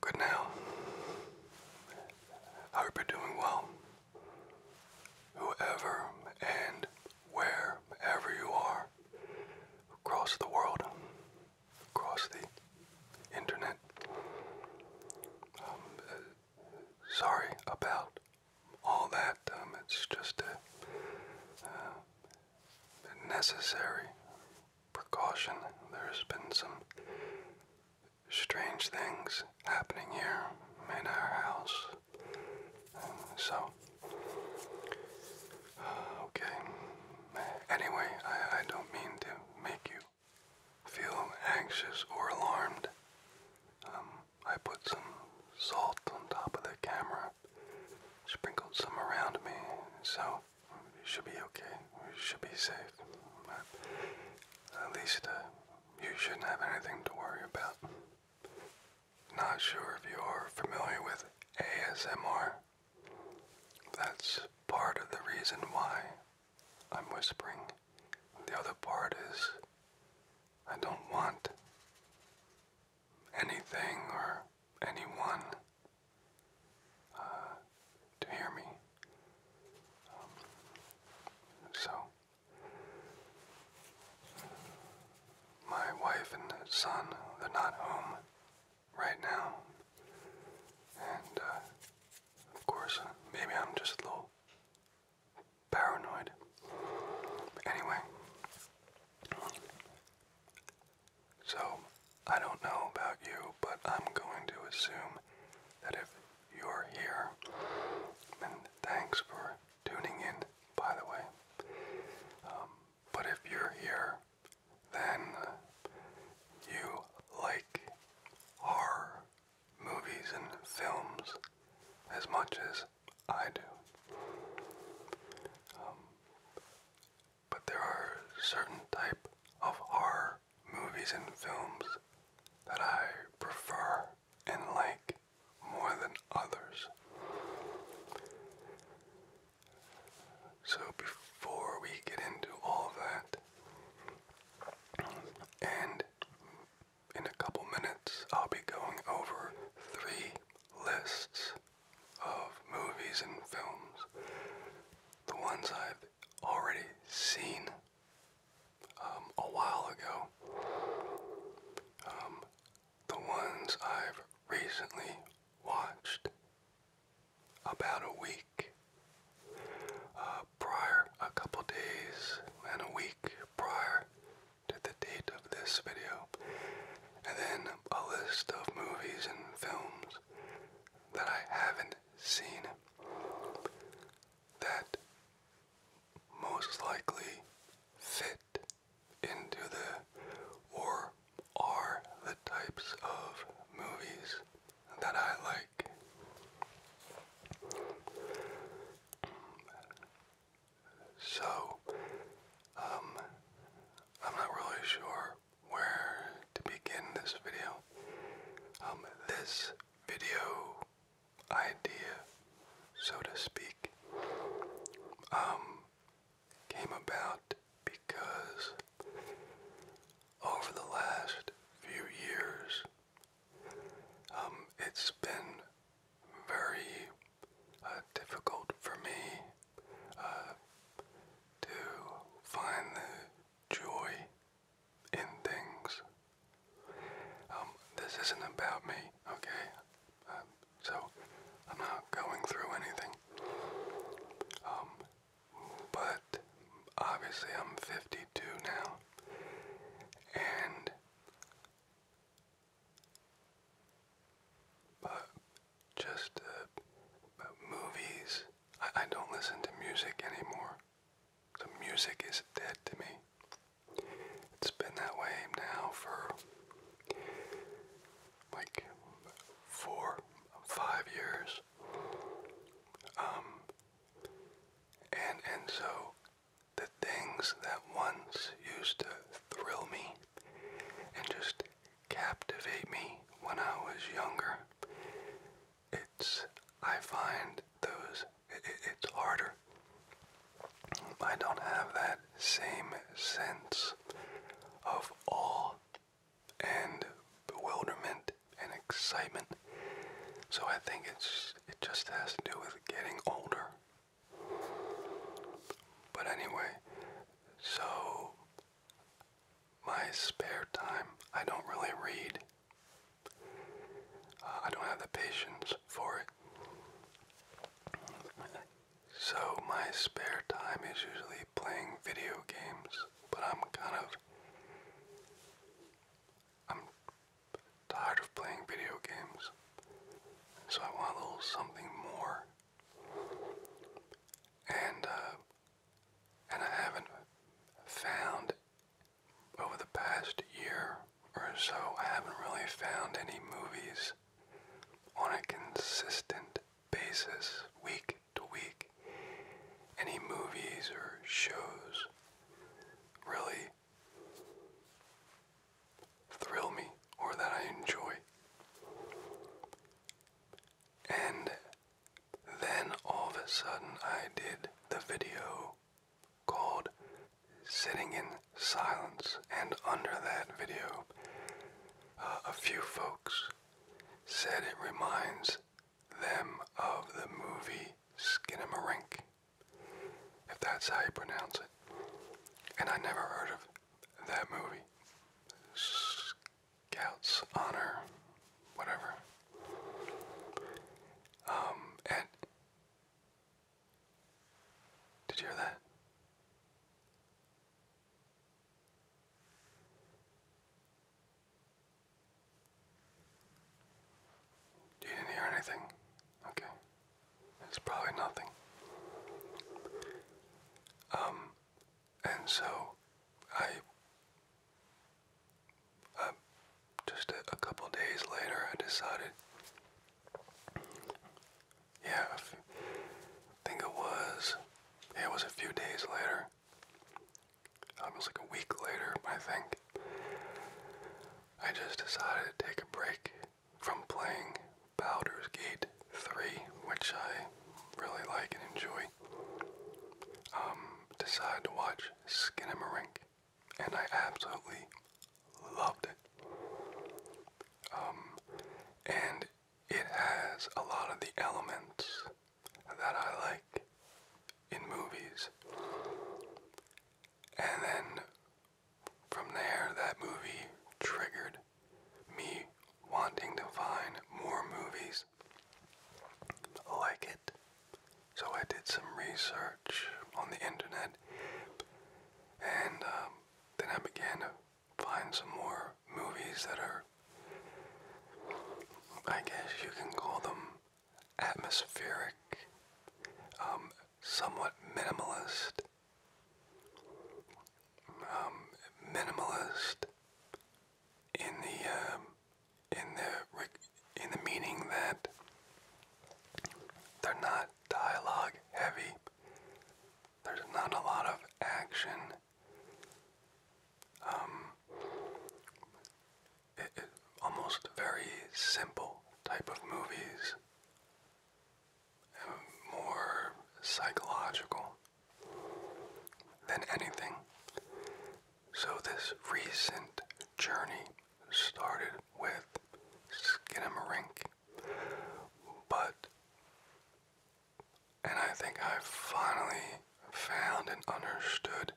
Good now. I hope you're doing well. Whoever and wherever you are, across the world, across the internet, um, sorry about all that. Um, it's just uh, a necessary precaution. There's been some strange things happening here in our house. so, okay. Anyway, I, I don't mean to make you feel anxious or alarmed. Um, I put some salt on top of the camera, sprinkled some around me, so it should be okay. It should be safe. At least uh, you shouldn't have anything to worry about. Not sure if you are familiar with ASMR. That's part of the reason why I'm whispering. The other part is I don't want anything or anyone uh, to hear me so, my wife and son, they're not home right now. And, uh, of course, maybe I'm just a little paranoid. Anyway, so I don't know about you, but I'm going to assume that if you're here. And thanks for tuning in, by the way. Um, but if you're here, then uh, you like horror movies and films as much as I do. Um, but there are certain type of R movies and films that I prefer and like more than others. So before we get into all that, and in a couple minutes, I'll be going over three lists of movies and films. The ones I've already seen um, a while ago. Um, the ones I've recently watched about a week uh, prior, a couple days and a week prior to the date of this video, and then a list of movies and films that I haven't seen that most likely fit into the or are the types of movies that I like. So, um, I'm not really sure where to begin this video. Um, this video idea, so to speak, um, came about because over the last few years, um, it's been very uh, difficult for me uh, to find the joy in things. Um, this isn't about me, okay? Um, so I'm not going through anything. Um, but obviously I'm 52 now, and but uh, just uh, uh, movies. I, I don't listen to music anymore. The music is dead to me. It's been that way now for like four, five years. Um, and and so the things that once used to thrill me and just captivate me when I was younger it's I find those it's harder. I don't have that same sense of awe and bewilderment and excitement. So I think it's it just has to do with getting older. But anyway, so my spare time, I don't really read. Uh, I don't have the patience for it. So my spare time is usually playing video games, but I'm kind of I'm tired of playing video games. So I want a little something more. And uh, and I haven't found over the past year or so, I haven't really found any movies on a consistent basis, week to week. Any movies or shows really thrill me or that I enjoy. And then all of a sudden I did the video called Sitting in Silence, and under that video, uh, a few folks said it reminds them of the movie *Skin Skinamarink, if that's how you pronounce it. And I never heard of that movie. Scouts Honor, whatever. Um, and did you hear that? You didn't hear anything? Okay. It's probably nothing. Um, and so I um, just a, couple days later, I decided. Yeah, I think it was. it was a few days later. it was like a week later, I think. I just decided to take a break from playing Baldur's Gate 3, which I really like and enjoy. Um, decided to watch Skinamarink and I absolutely loved it. Um, and it has a lot of the elements that I like in movies. And then from there, that movie triggered me wanting to find more movies like it. So I did some research on the internet, and um, then I began to find some more movies that are, I guess you can call them atmospheric, um, somewhat minimalist, um, minimalist in the in the in the meaning that they're not dialogue heavy. There's not a lot of action. Um, it, almost very simple type of movies. Um, more psychological than anything. So, this recent journey started with Skinamarink, but, and I think I have finally found and understood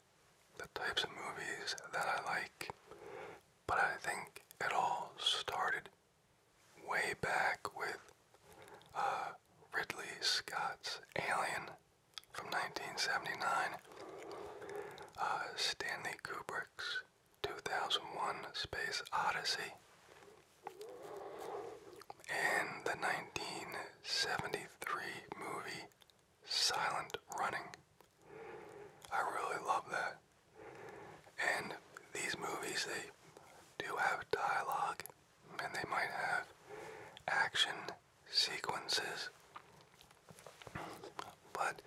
the types of movies that I like, but I think it all started way back with uh, Ridley Scott's Alien from 1979, uh, Stanley Kubrick. 2001 Space Odyssey and the 1973 movie Silent Running. I really love that. And these movies, they do have dialogue and they might have action sequences but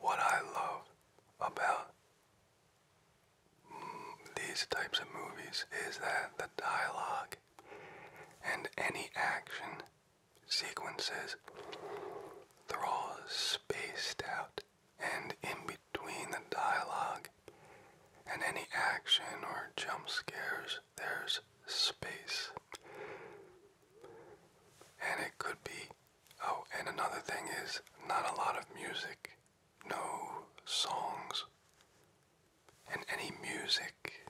what I love about these types of movies is that the dialogue and any action sequences, are all spaced out and in between the dialogue and any action or jump scares, there's space. And it could be. Oh, and another thing is not a lot of music. No songs. And any music.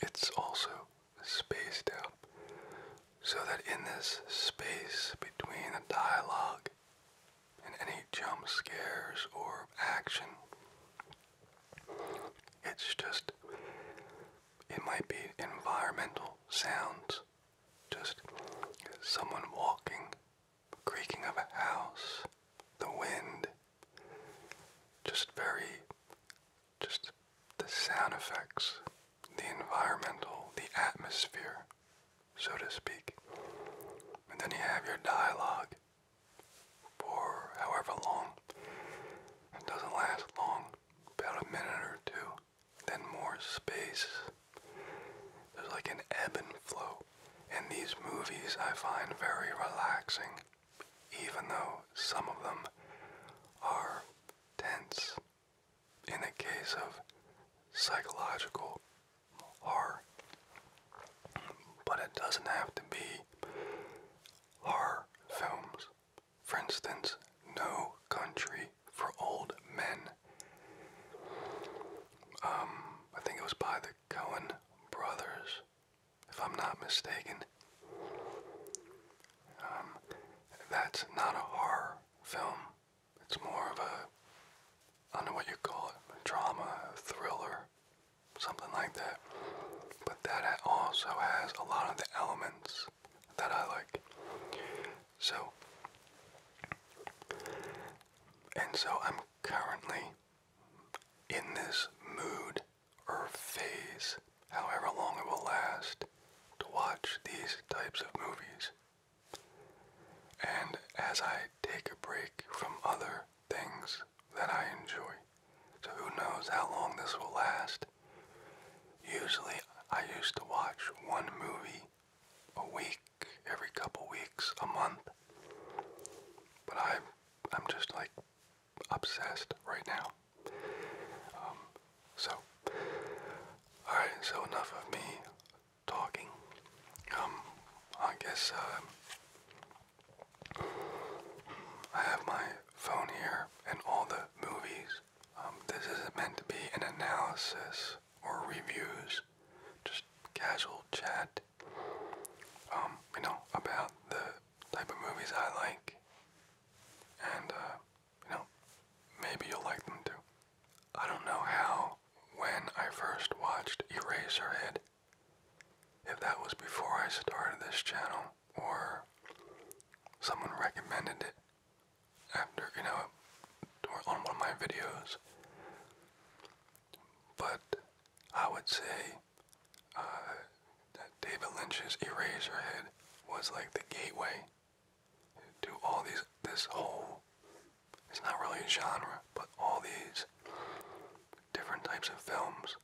It's also spaced out. So that in this space between the dialogue and any jump scares or action, it's just it might be environmental sounds, just someone walking, creaking of a house, the wind, just very, just the sound effects, the environmental, the atmosphere, so to speak. And then you have your dialogue for however long. It doesn't last long about a minute or two, then more space. There's like an ebb and flow. And these movies I find very relaxing, even though some of them are tense. In the case of psychological horror. But it doesn't have to be horror films. For instance, No Country for Old Men. Um, I think it was by the Cohen brothers, if I'm not mistaken. Um, that's not a horror film. It's more of a, I don't know what you call it, a drama, thriller, something like that. But that also has a lot of the elements that I like. So, and so I'm currently in this mood or phase, however long it will last, to watch these types of movies. And as I take a break from other things that I enjoy, so who knows how long this will last, Usually, I used to watch one movie a week, every couple weeks, a month. But I'm, I'm just like obsessed right now. Um, so, alright, so enough of me talking. Um, I guess, uh, I have my phone here and all the movies um, this isn't meant to be an analysis or reviews, just casual chat. Um, you know about the type of movies I like, and uh, you know maybe you'll like them too. I don't know how when I first watched Eraserhead, if that was before I started this channel or someone recommended it after you know on one of my videos. But I would say uh, that David Lynch's Eraserhead was like the gateway to all these. This whole it's not really a genre, but all these different types of films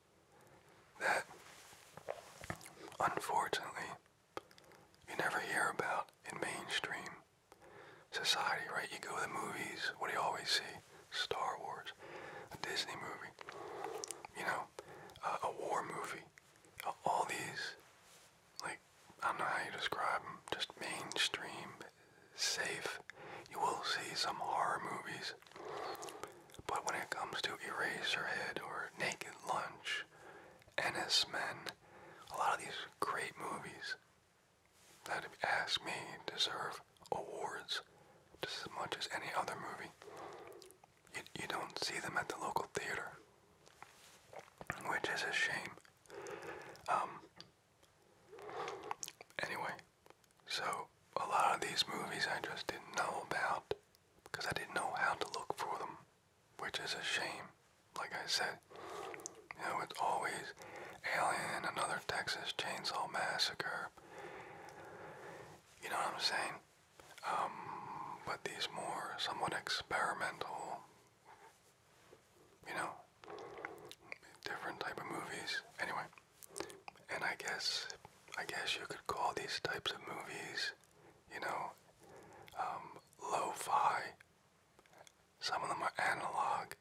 that unfortunately you never hear about in mainstream society, right? You go to the movies, what do you always see? Star Wars, a Disney movie, you know, uh, a war movie. Uh, all these, like, I don't know how you describe them, just mainstream, safe. You will see some horror movies. But when it comes to Eraserhead or Naked Lunch Ennis Men, a lot of these great movies that, if you ask me, deserve awards just as much as any other movie. You, you don't see them at the local theater, which is a shame. Um, anyway, so a lot of these movies I just didn't know about because I didn't know how to look for them which is a shame. Like I said, you know, it's always Alien, another Texas Chainsaw Massacre. You know what I'm saying? Um, but these more somewhat experimental, you know, different type of movies. Anyway, and I guess, I guess you could call these types of movies, you know, um, lo-fi. Some of them are analog,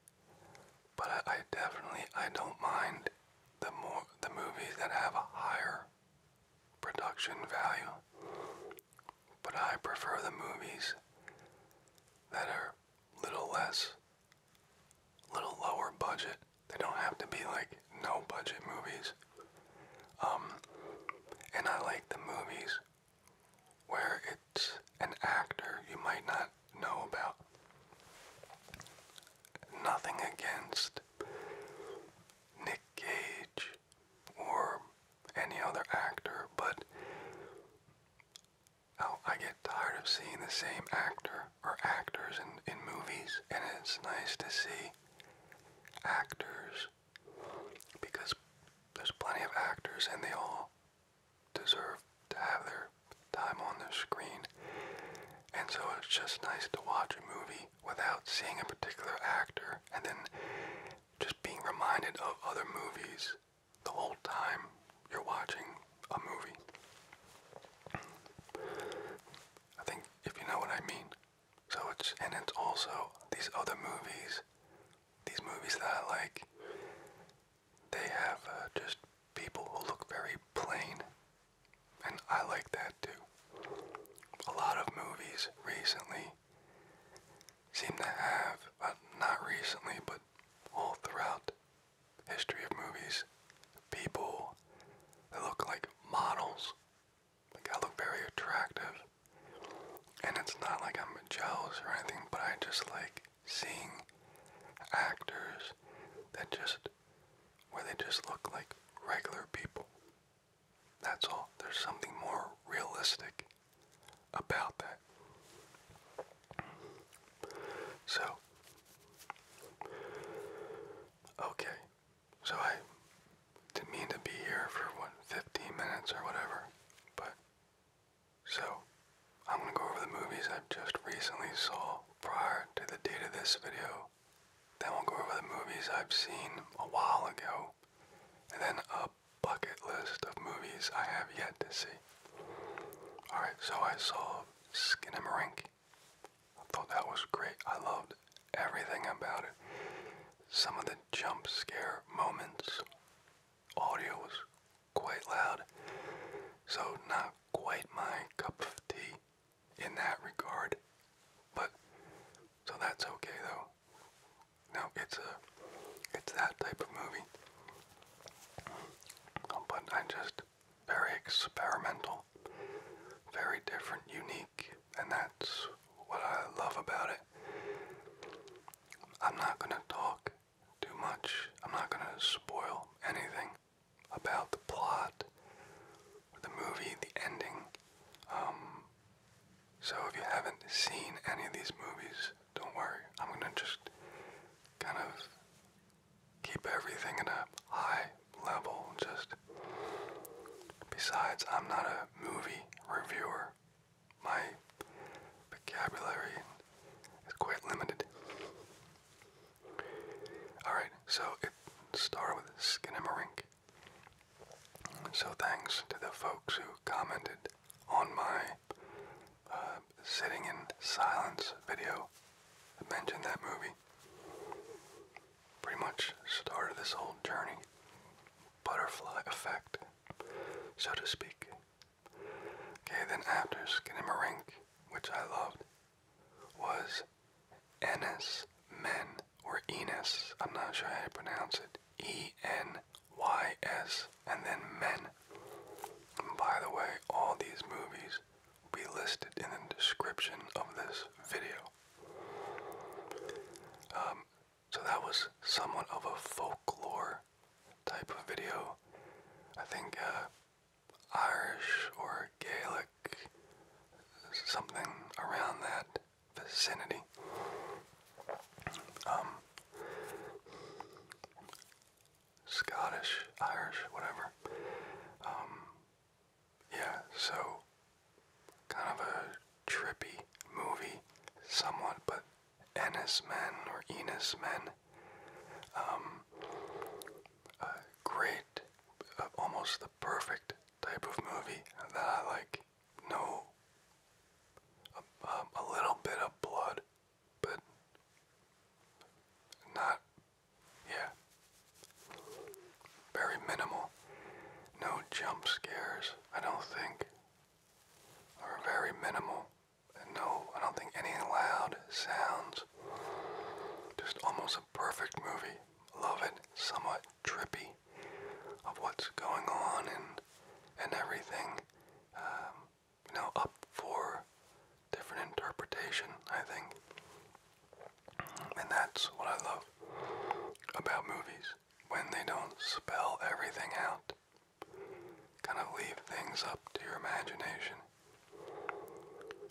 but I, I definitely I don't mind the more the movies that have a higher production value. But I prefer the movies that are little less, little lower budget. They don't have to be like no budget movies. Um, and I like the movies where it's an actor you might not know about. Nothing against Nick Cage or any other actor, but oh, I get tired of seeing the same actor or actors in, in movies, and it's nice to see actors because there's plenty of actors and they all deserve to have their time on the screen. And so it's just nice to watch a movie without seeing a particular actor and then just being reminded of other movies the whole time you're watching a movie. I think if you know what I mean. So it's and it's also these other movies, these movies that like. They have uh, just people who look very plain, and I like that too. A lot of movies recently seem to have, uh, not recently, but all throughout history of movies, people that look like models like I look very attractive. And it's not like I'm jealous or anything, but I just like seeing actors that just where they just look like regular people. That's all. There's something more realistic about that. So, okay, so I didn't mean to be here for what 15 minutes or whatever, but so I'm gonna go over the movies i just recently saw prior to the date of this video. Then we'll go over the movies I've seen a while ago, and then a bucket list of movies I have yet to see. Alright, so I saw *Skin and Marink*. I thought that was great. I loved everything about it. Some of the jump scare moments. Audio was quite loud, so not quite my cup of tea in that regard. But so that's okay though. No, it's a it's that type of movie. But I just very experimental, very different, unique and that's what I love about it. I'm not going to talk too much, I'm not going to spoil anything about the plot, the movie, the ending. Um, so if you haven't seen any of these movies, don't worry. I'm going to just kind of keep everything at a high level. Just besides, I'm not a movie reviewer. My vocabulary is quite limited. Alright, so it started with Skinamarink. So thanks to the folks who commented on my uh, Sitting in Silence video that mentioned that movie. Pretty much started this whole journey butterfly effect, so to speak. Okay, then after Skinamarink, which I loved, was Ennis Men, or Enos, I'm not sure how to pronounce it, E-N-Y-S, and then Men. by the way, all these movies will be listed in the description of this video. Um, so that was somewhat of a folklore type of video. I think uh, Irish or Gaelic, something around that vicinity. Um, Scottish, Irish, whatever. Um, yeah, so kind of a trippy movie, somewhat, but Ennis Men or Ennis Men, um, a great, uh, almost the perfect type of movie that I like. No, a, a little bit of blood, but not, yeah, very minimal. No jump scares, I don't think are very minimal and no, I don't think any loud sounds. Just almost a perfect movie. Love it. Somewhat trippy of what's going on and and everything. Um, you know, up for different interpretation, I think. And that's what I love about movies when they don't spell everything out. Kind of leave things up to your imagination.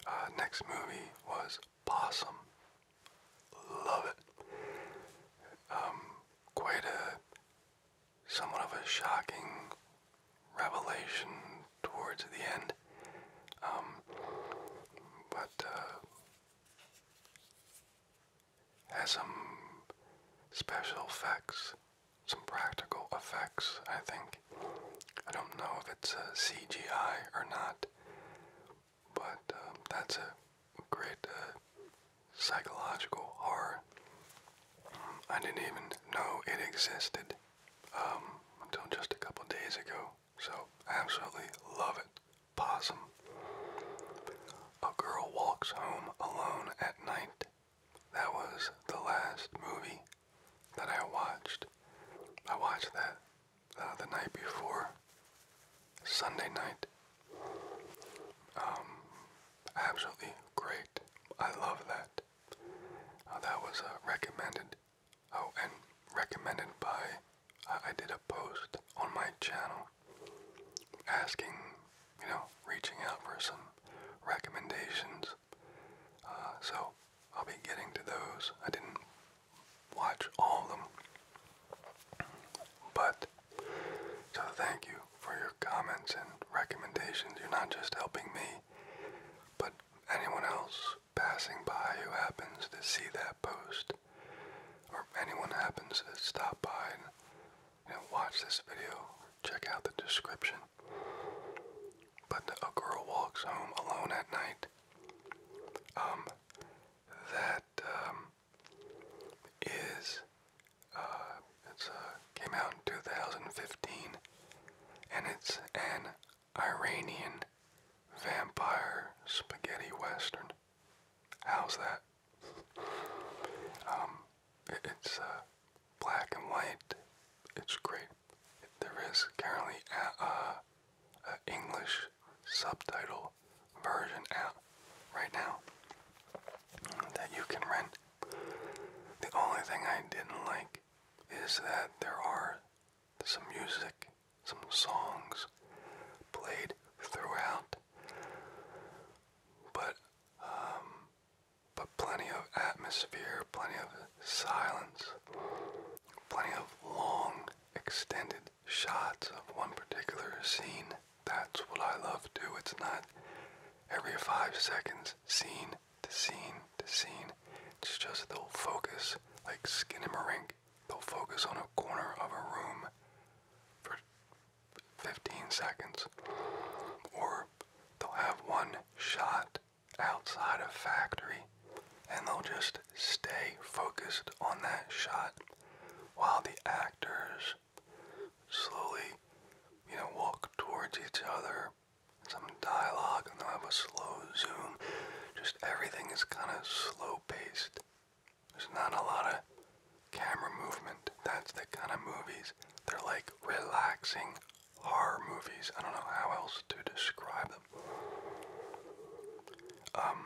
Uh, next movie was Possum. Love it. Um, quite a somewhat of a shocking revelation towards the end. Um, but uh, has some special effects, some practical effects, I think. I don't know if it's a CGI or not, but um, that's a great uh, psychological horror. I didn't even know it existed um, until just a couple days ago, so I absolutely love it. Possum. A Girl Walks Home Alone at Night. That was the last movie that I watched. I watched that uh, the night before Sunday night. Um, absolutely great. I love that. Uh, that was uh, recommended. Oh, and recommended by. I did a post on my channel asking, you know, reaching out for some recommendations. Uh, so I'll be getting to those. I didn't watch all of them, but so thank you for your comments and recommendations. You're not just helping me, but anyone else passing by who happens to see that post, or anyone happens to stop by and watch this video, check out the description. But a girl walks home alone at night. Um, that um, is uh, it's uh, came out in 2015, and it's an Iranian vampire spaghetti western. How's that? Um, it's uh, black and white. It's great. There is currently uh, a English subtitle version out right now that you can rent. The only thing I didn't like is that there are some music, some songs played throughout but um, but plenty of atmosphere, plenty of silence, plenty of long, extended shots of one particular scene. That's what I love to do. It's not every five seconds, scene to scene to scene. It's just they'll focus like skin and marink. They'll focus on a corner of a room for 15 seconds, or they'll have one shot outside of factory and they'll just stay focused on that shot while the actors slowly, you know, walk towards each other, some dialogue, and they'll have a slow zoom. Just everything is kind of slow paced. There's not a lot of camera movement. That's the kind of movies. They're like relaxing horror movies. I don't know how else to describe them. Um,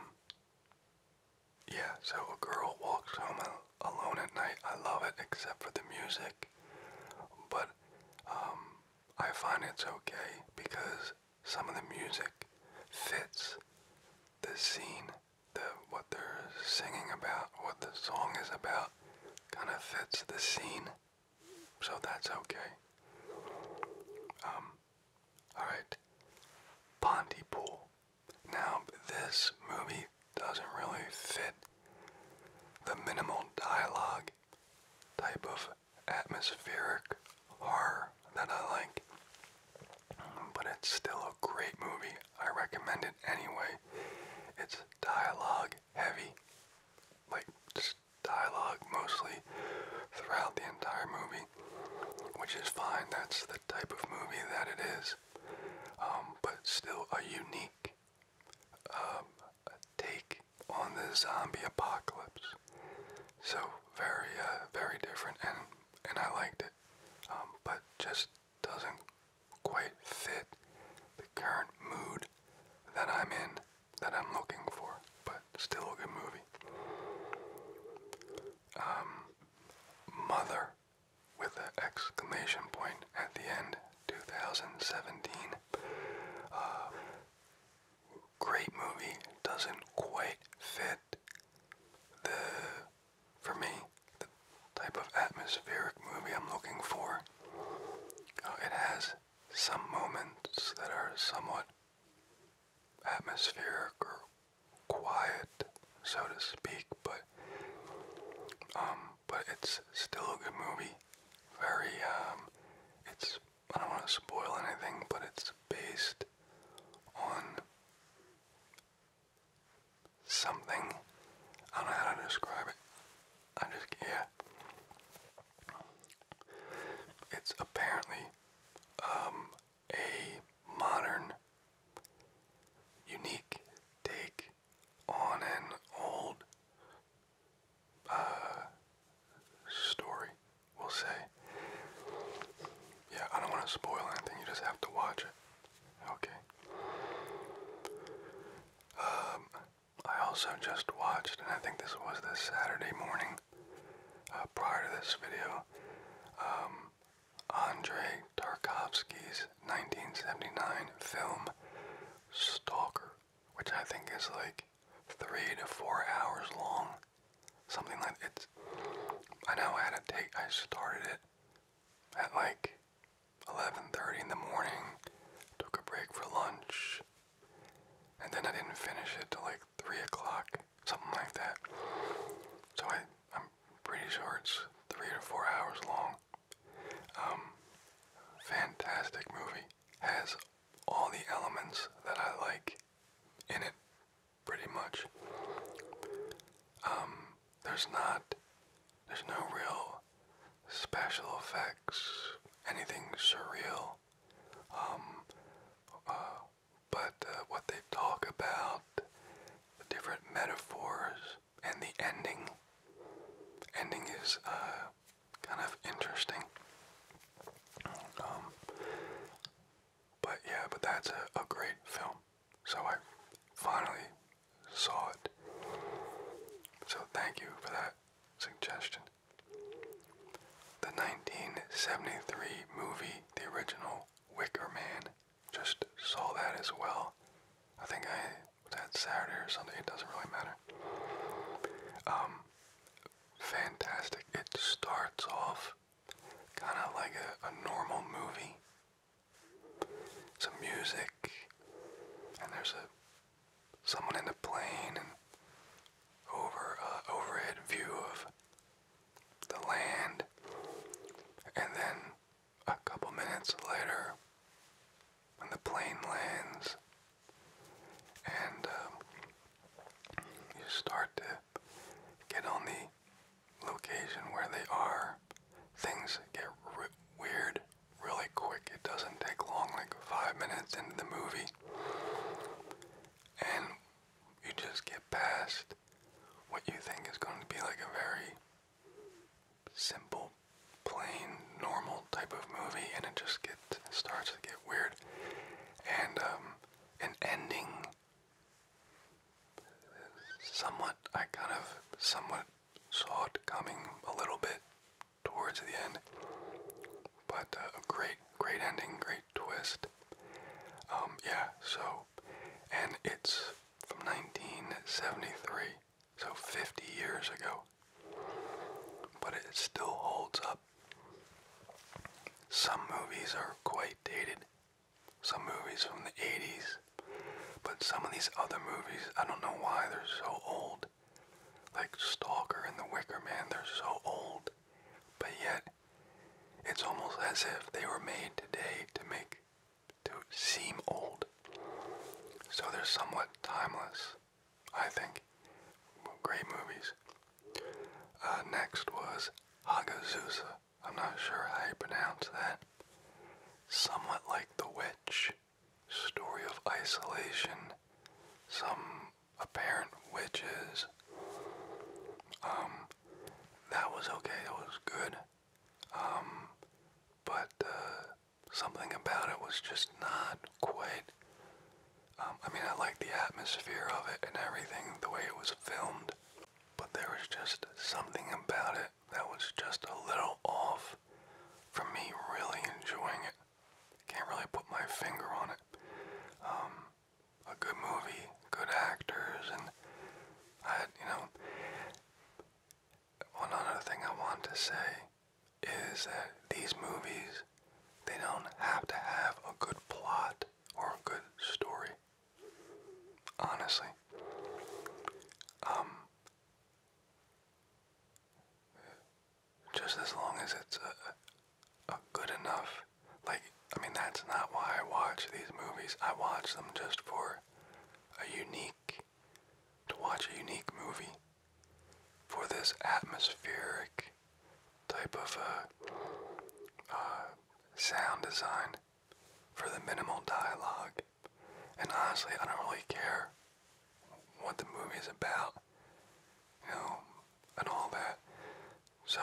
yeah, so a girl walks home alone at night. I love it, except for the music. But um, I find it's okay because some of the music fits the scene the what they're singing about, what the song is about, kind of fits the scene, so that's okay. Um, all right, Pontypool. Now this movie doesn't really fit the minimal dialogue type of atmospheric horror that I like, but it's still great movie. I recommend it anyway. It's dialogue heavy. Like, just dialogue mostly throughout the entire movie, which is fine. That's the type of movie that it is. Um, but still a unique um, take on the zombie apocalypse. So very, uh, very different, and and I liked it. Um, but just doesn't quite fit the current mood that I'm in, that I'm looking for, but still a good movie. Um, Mother, with an exclamation point at the end, 2017. Uh, great movie, doesn't quite fit the for me, the type of atmospheric movie I'm looking for. it has some moments that are somewhat atmospheric or quiet, so to speak, but um, but it's still a good movie. Very um, it's I don't want to spoil anything, but it's based on something. I don't know how to describe it. I just yeah. It's apparently um, a modern, unique take on an old uh, story. We'll say. Yeah, I don't want to spoil anything. You just have to watch it. Okay. Um, I also just watched, and I think this was this Saturday morning uh, prior to this video, um, Andrei Tarkovsky's 1979 film Stalker, which I think is like three to four hours long. Something like it's. I know I had to take. I started it at like 11:30 in the morning, took a break for lunch, and then I didn't finish it till like three o'clock, something like that. So I, I'm pretty sure it's three to four hours long. Um, fantastic movie has all the elements that I like in it, pretty much. Um, there's not there's no real special effects, anything surreal. Um, uh, but uh, what they talk about, different metaphors, and the ending. Ending is uh, kind of interesting. Um, but yeah, but that's a, a great film. So I finally saw it. So thank you for that suggestion. The 1973 movie, the original Wicker Man, just saw that as well. I think I was that Saturday or Sunday, it doesn't really matter. Um, fantastic. It starts off kind of like a, a normal movie, some music, and there's a someone in the plane and over a uh, overhead view of the land, and then a couple minutes later, when the plane lands, and um, you start to get on the location where they are, things get weird really quick. It doesn't take long, like five minutes into the movie. And you just get past what you think is going to be like a very simple, plain, normal type of movie, and it just gets starts to get weird. And um, an ending, somewhat, I kind of somewhat saw it coming a little bit towards the end, but uh, a great, great ending, great twist. Um, yeah, so, and it's from 1973, so 50 years ago, but it still holds up. Some movies are quite dated. Some movies from the 80s but some of these other movies, I don't know why they're so old. Like Stalker and The Wicker Man, they're so old. But yet, it's almost as if they were made today to make, to seem old. So they're somewhat timeless, I think. Great movies. Uh, next was Hagazusa. I'm not sure how you pronounce that. Somewhat like The Witch, Story of Isolation, some apparent witches. Um, that was okay, that was good. Um, but uh, something about it was just not quite. Um, I mean, I liked the atmosphere of it and everything, the way it was filmed, but there was just something about it that was just a little off from me really enjoying it. Can't really put my finger on it. Um, a good movie, good actors, and I, you know, one other thing I want to say is that these movies, they don't have to have a good plot or a good story. Honestly. Um, just as long as it's a, good enough, like I mean, that's not why I watch these movies. I watch them just for a unique, to watch a unique movie, for this atmospheric type of a uh, uh, sound design for the minimal dialogue. And honestly, I don't really care what the movie is about, you know, and all that. So,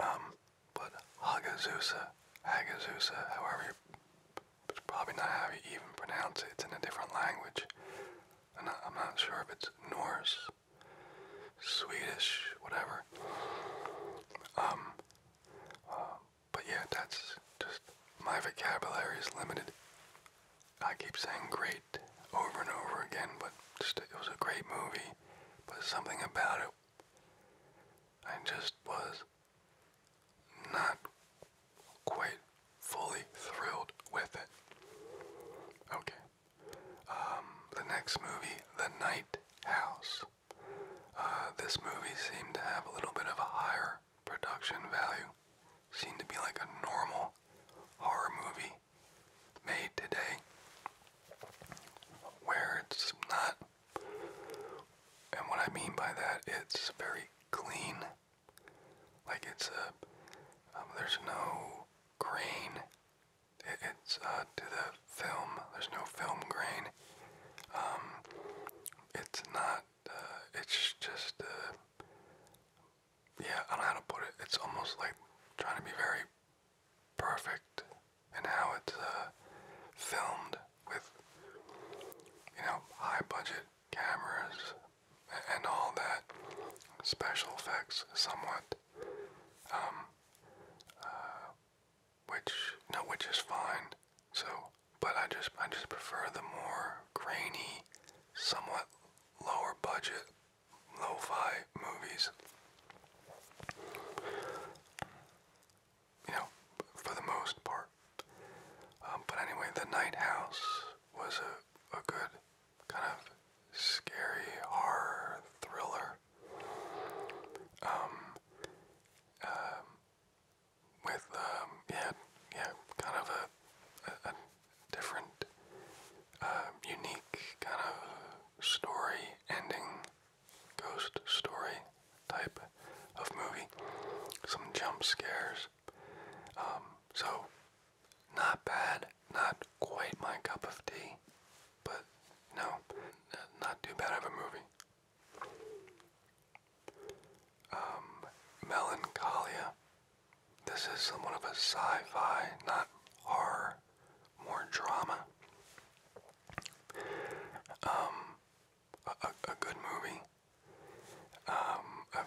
um, but Hagazusa, Hagazusa, however you, it's probably not how you even pronounce it, it's in a different language. I'm not, I'm not sure if it's Norse, Swedish, whatever. Um, uh, but yeah, that's just my vocabulary is limited. I keep saying great over and over again, but just it was a great movie. But something about it, I just was not quite fully thrilled with it. Okay. Um, the next movie, The Night House. Uh, this movie seemed to have a little bit of a higher production value. Seemed to be like a normal horror movie made today, where it's not. And what I mean by that, it's very clean. Like it's a, um, there's no grain. it's uh, to the film. There's no film grain. Um, it's not, uh, it's just, uh, yeah, I don't know how to put it. It's almost like trying to be very perfect and how it's uh, filmed with, you know, high budget cameras and all that, special effects somewhat. Um, which no, which is fine. So, but I just I just prefer the more grainy, somewhat lower budget, lo-fi movies. You know, for the most part. Um, but anyway, The Night House was a, a good kind of scary horror thriller. Um, um, with um, yeah, yeah, kind of a, a, different, um, unique kind of story ending, ghost story type of movie. Some jump scares. Um, so, not bad, not quite my cup of tea, but no, not too bad of a movie. Um, melancholia. This is somewhat of a sci-fi, not horror, more drama. Um, a, a, a good movie. Um, a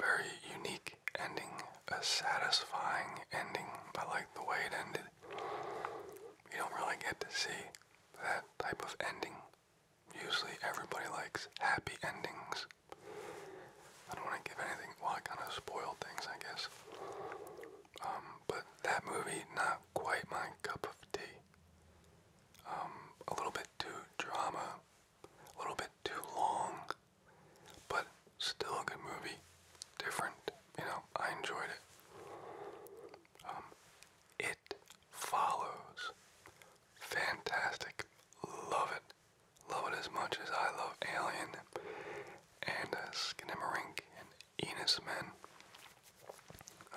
very unique ending, a satisfying ending. I like the way it ended. You don't really get to see that type of ending Usually everybody likes happy endings. I don't want to give anything, well, I kind of spoil things, I guess. Um, but that movie, not quite my cup of tea. Um, a little bit too drama, a little bit too long, but still a good movie. Different, you know, I enjoyed it. Um, it follows. Fantastic. Love it. Love it as much as I love Alien and uh, and Enos Men.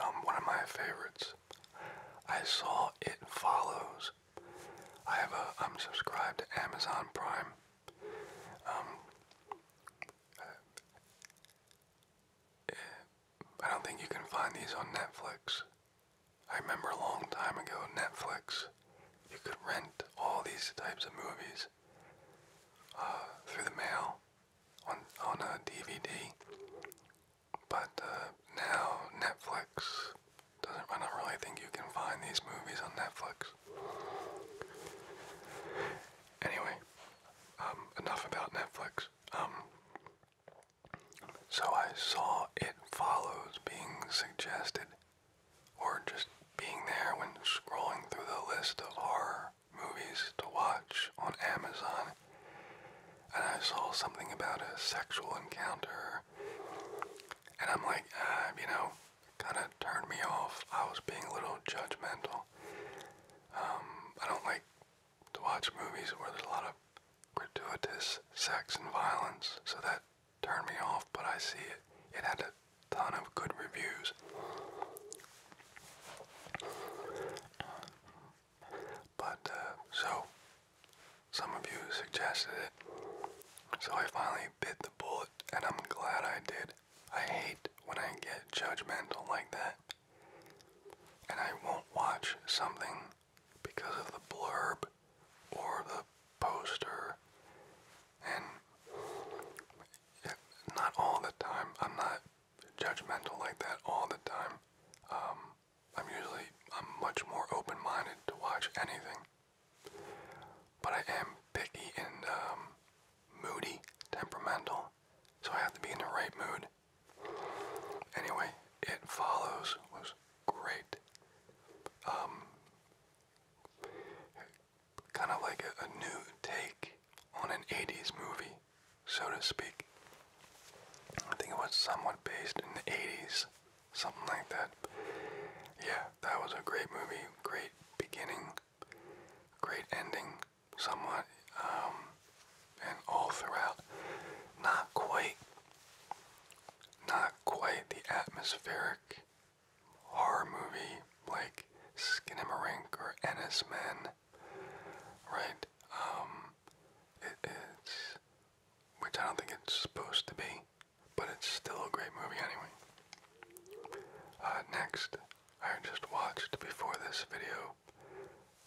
Um, one of my favorites. I saw It Follows. I have a, I'm subscribed to Amazon Prime. Um, uh, I don't think you can find these on Netflix. I remember a long time ago, Netflix, you could rent all these types of movies uh, through the mail on, on a DVD. But uh, now Netflix doesn't, I don't really think you can find these movies on Netflix. Anyway, um, enough about Netflix. Um, so I saw It Follows being suggested, or just being there when scrolling through the list of horror movies to watch on Amazon, and I saw something about a sexual encounter, and I'm like, uh, you know, kind of turned me off. I was being a little judgmental. Um, I don't like to watch movies where there's a lot of gratuitous sex and violence, so that turned me off, but I see it. It had a ton of good reviews. But, uh, so, some of you suggested it, so I finally bit the bullet, and I'm glad I did. I hate when I get judgmental like that, and I won't watch something because of the blurb or the poster. And not all the time. I'm not judgmental like that all the time. Um, I'm usually I'm much more open-minded to watch anything. But I am picky and um, moody, temperamental, so I have to be in the right mood. Anyway, It Follows was great. Um, kind of like a, new take on an 80s movie, so to speak. I think it was somewhat based in the 80s, something like that. Yeah, that was a great movie, great beginning, great ending, somewhat. Um, and all throughout. Not quite, not quite the atmospheric horror movie like *Skin and Marink* or Ennis Men, right? Um, it is, which I don't think it's supposed to be, but it's still a great movie anyway. Uh, next, I just watched before this video,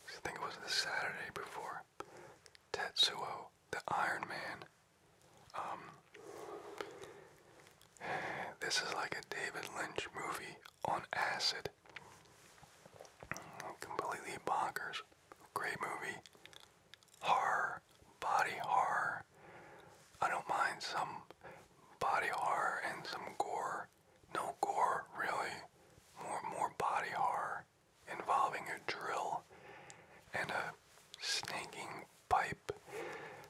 I think it was the Saturday before Tetsuo the Iron Man. Um, this is like a David Lynch movie on acid. Completely bonkers. Great movie. Horror, body horror. I don't mind some body horror and some gore. No gore, really. More more body horror involving a drill and a snaking pipe.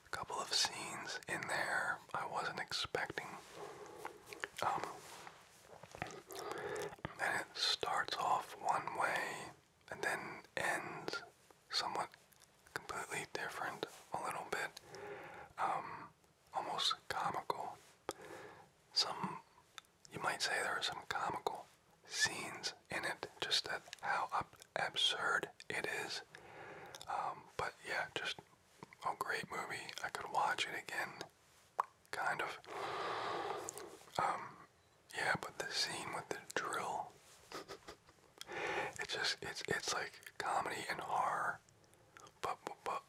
A couple of scenes in there I wasn't expecting. Um, and it starts off one way and then ends somewhat completely different, a little bit, um, almost comical. Some you might say there are some comical scenes in it, just that how absurd it is. Um, but yeah, just a great movie. I could watch it again, kind of. Um, yeah, but the scene with the drill, it's just it's it's like comedy and horror, but but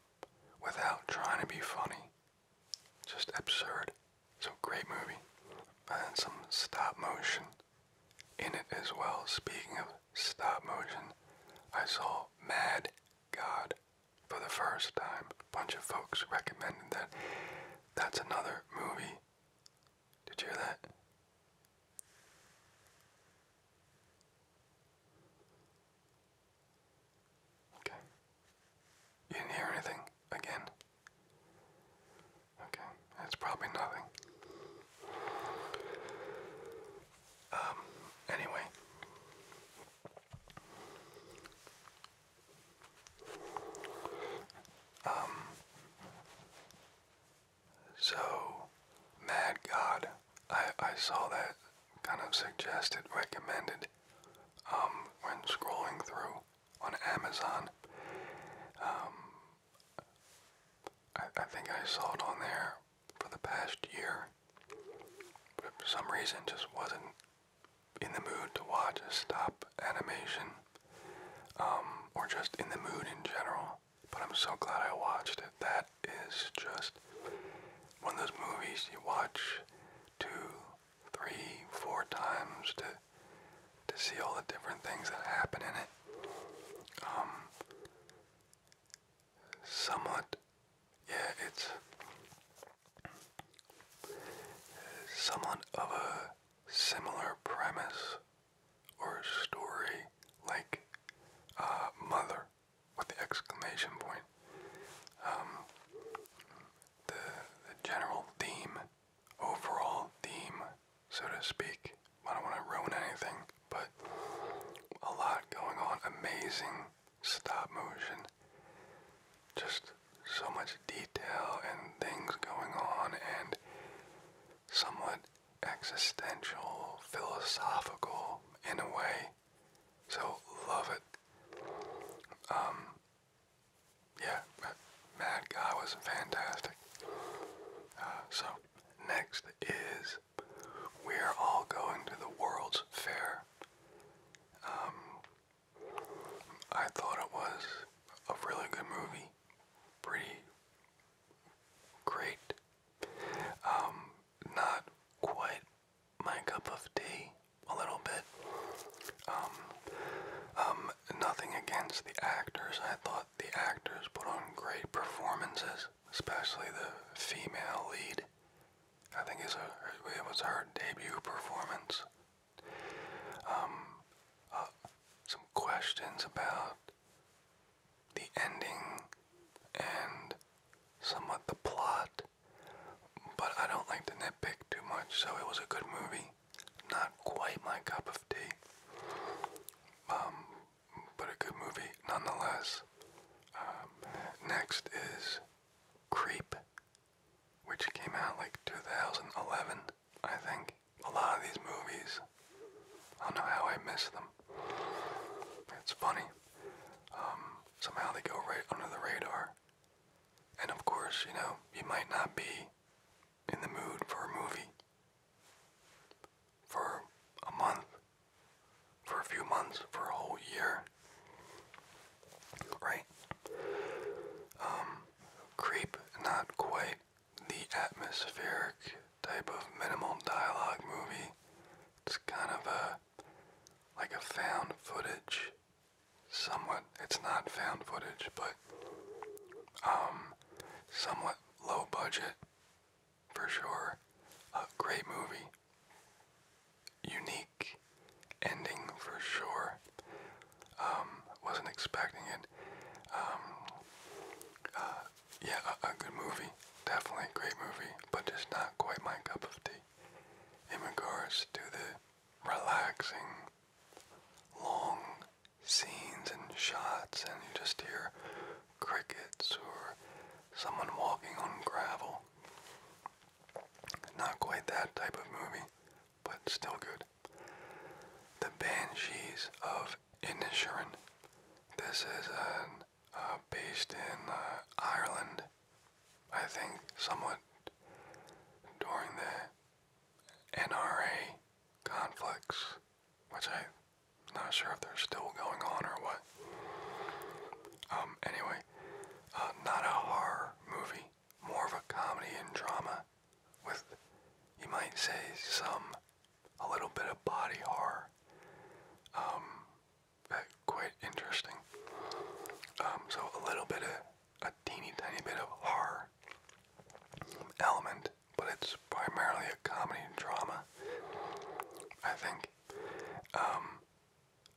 without trying to be funny. Just absurd. So great movie. And some stop motion in it as well. Speaking of stop motion, I saw Mad God for the first time. A bunch of folks recommended that. That's another movie. Did you hear that? Okay. You didn't hear anything again? Okay, it's probably nothing. Um, anyway. Um, so, Mad God, I, I saw that kind of suggested, recommended um, when scrolling through on Amazon. Um, I, think I saw it on there for the past year, but for some reason just wasn't in the mood to watch a stop animation, um, or just in the mood in general. But I'm so glad I watched it. That is just one of those movies you watch to three, four times to to see all the different things that happen in it. Um, somewhat, yeah, it's somewhat of a similar premise or story like uh, Mother with the exclamation point. Um, the, general theme, overall theme, so to speak. I don't want to ruin anything, but a lot going on. Amazing stop motion. Just so much detail and things going on, and somewhat existential, philosophical in a way. So love it. Um, yeah, Mad Guy was fantastic. Uh, so next is we're all going to the World's Fair. Um, I thought it was a really good movie, pretty great. Um, not quite my cup of tea a little bit. Um, um, nothing against the actors. I thought the actors put on great performances, especially the female lead. I think it's a, it was her debut performance. Um, uh, some questions about the ending and somewhat the plot but I don't like to nitpick too much, so it was a good movie. Not quite my cup of tea. Um, but a good movie nonetheless. Um, next is Creep, which came out like 2011, I think. A lot of these movies, I don't know how I miss them. It's funny. Um, somehow they go right under the radar. And of course, you know, you might not be in the mood for a movie for a month, for a few months, for a whole year, right? Um, creep not quite the atmospheric type of minimal dialogue movie. It's kind of a like a found footage somewhat, it's not found footage, but um, somewhat low budget for sure. A great movie. Unique ending for sure. Um, wasn't expecting it. Um, uh, yeah, a, good movie. Definitely a great movie, but just not quite my cup of tea. In regards to the relaxing, long scenes and shots, and you just hear crickets or someone walking on gravel. Not quite that type of movie, but still good. The Banshees of Inisherin. This is uh, based in uh, Ireland I think somewhat during the NRA conflicts, which I'm not sure if they're still going on or what. Um, anyway, uh, not a horror movie, more of a comedy and drama with, you might say, some, a little bit of body horror. Um, quite interesting. Um, so a little bit of a teeny tiny bit of horror element, but it's primarily a comedy drama. I think um,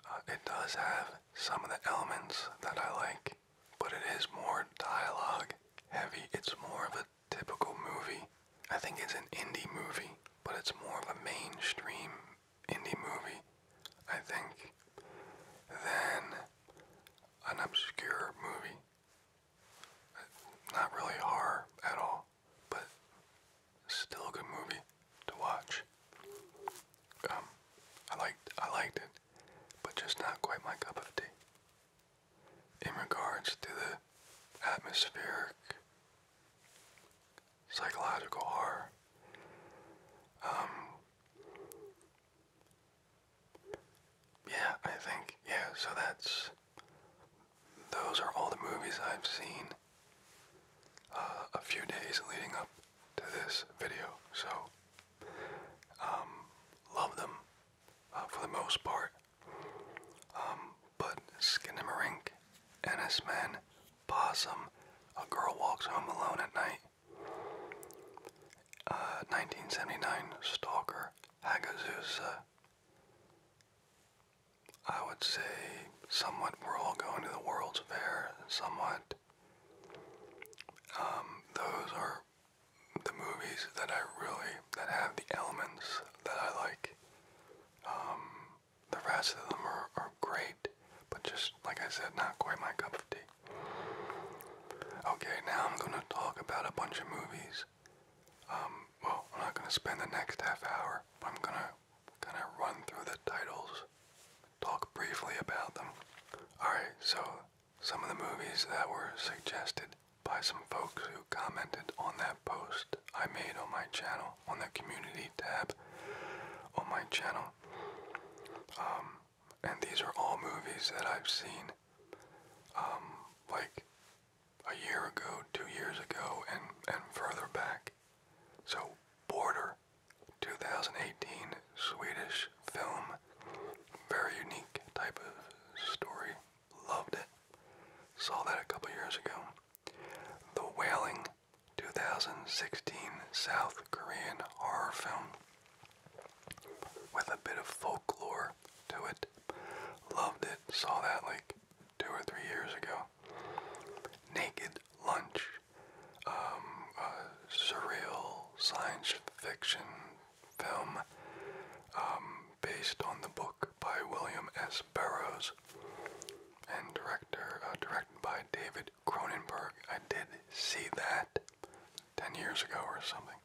uh, it does have some of the elements that I like, but it is more dialogue heavy. It's more of a typical movie. I think it's an indie movie, but it's more of a mainstream indie movie, I think, than an obscure movie. Not really horror at all, but still a good movie to watch. Um, I liked I liked it, but just not quite my cup of tea. In regards to the atmospheric psychological horror, um, yeah, I think. Yeah, so that's. Those are all the movies I've seen uh, a few days leading up to this video. So, um, love them uh, for the most part. Um, but Skinamarink, Ennis Men, Possum, A Girl Walks Home Alone at Night, uh, 1979 Stalker Hagazusa. I would say somewhat we're all going to the World's Fair, somewhat. Um, those are the movies that I really, that have the elements that I like. Um, the rest of them are, are great but just like I said, not quite my cup of tea. Okay, now I'm gonna talk about a bunch of movies. Um, well, I'm not gonna spend the next half hour. But I'm gonna kind of run through the titles, talk briefly about them. Alright, so some of the movies that were suggested by some folks who commented on that post I made on my channel, on the community tab on my channel. Um, and these are all movies that I've seen, um, like a year ago, two years ago, and and further back. So Border, 2018 Swedish film, very unique type of story. Loved it. Saw that a couple years ago. The Wailing, 2016 South Korean horror film with a bit of folklore to it. Loved it. Saw that like two or three years ago. Naked Lunch. Um, a surreal science fiction film um, based on the book by William S. Burroughs and director uh, directed by David Cronenberg. I did see that 10 years ago or something.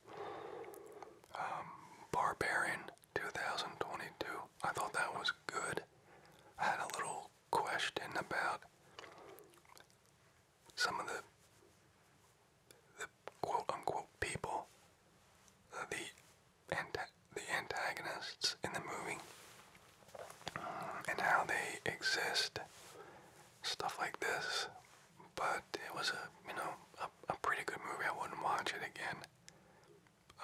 Um, Barbarian 2022. I thought that was good. I had a little question about some of the the quote unquote people, uh, the anta the antagonists in the movie, and how they exist stuff like this. But it was a you know a, a pretty good movie. I wouldn't watch it again.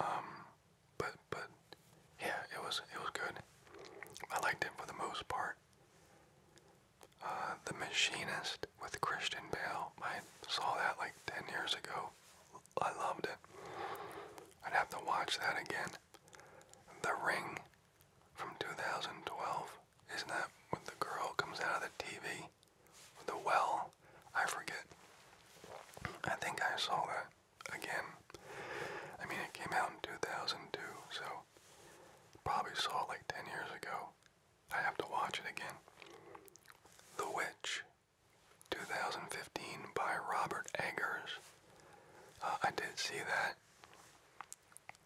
Um, but but yeah, it was it was good. I liked it for the most part. Uh, the Machinist with Christian Bale. I saw that like 10 years ago. I loved it. I'd have to watch that again. The Ring from 2012. Isn't that when the girl comes out of the TV? the well? I forget. I think I saw that again. I mean, it came out in 2002, so probably saw like 10 years ago. I have to watch it again. The Witch, 2015 by Robert Eggers. Uh, I did see that.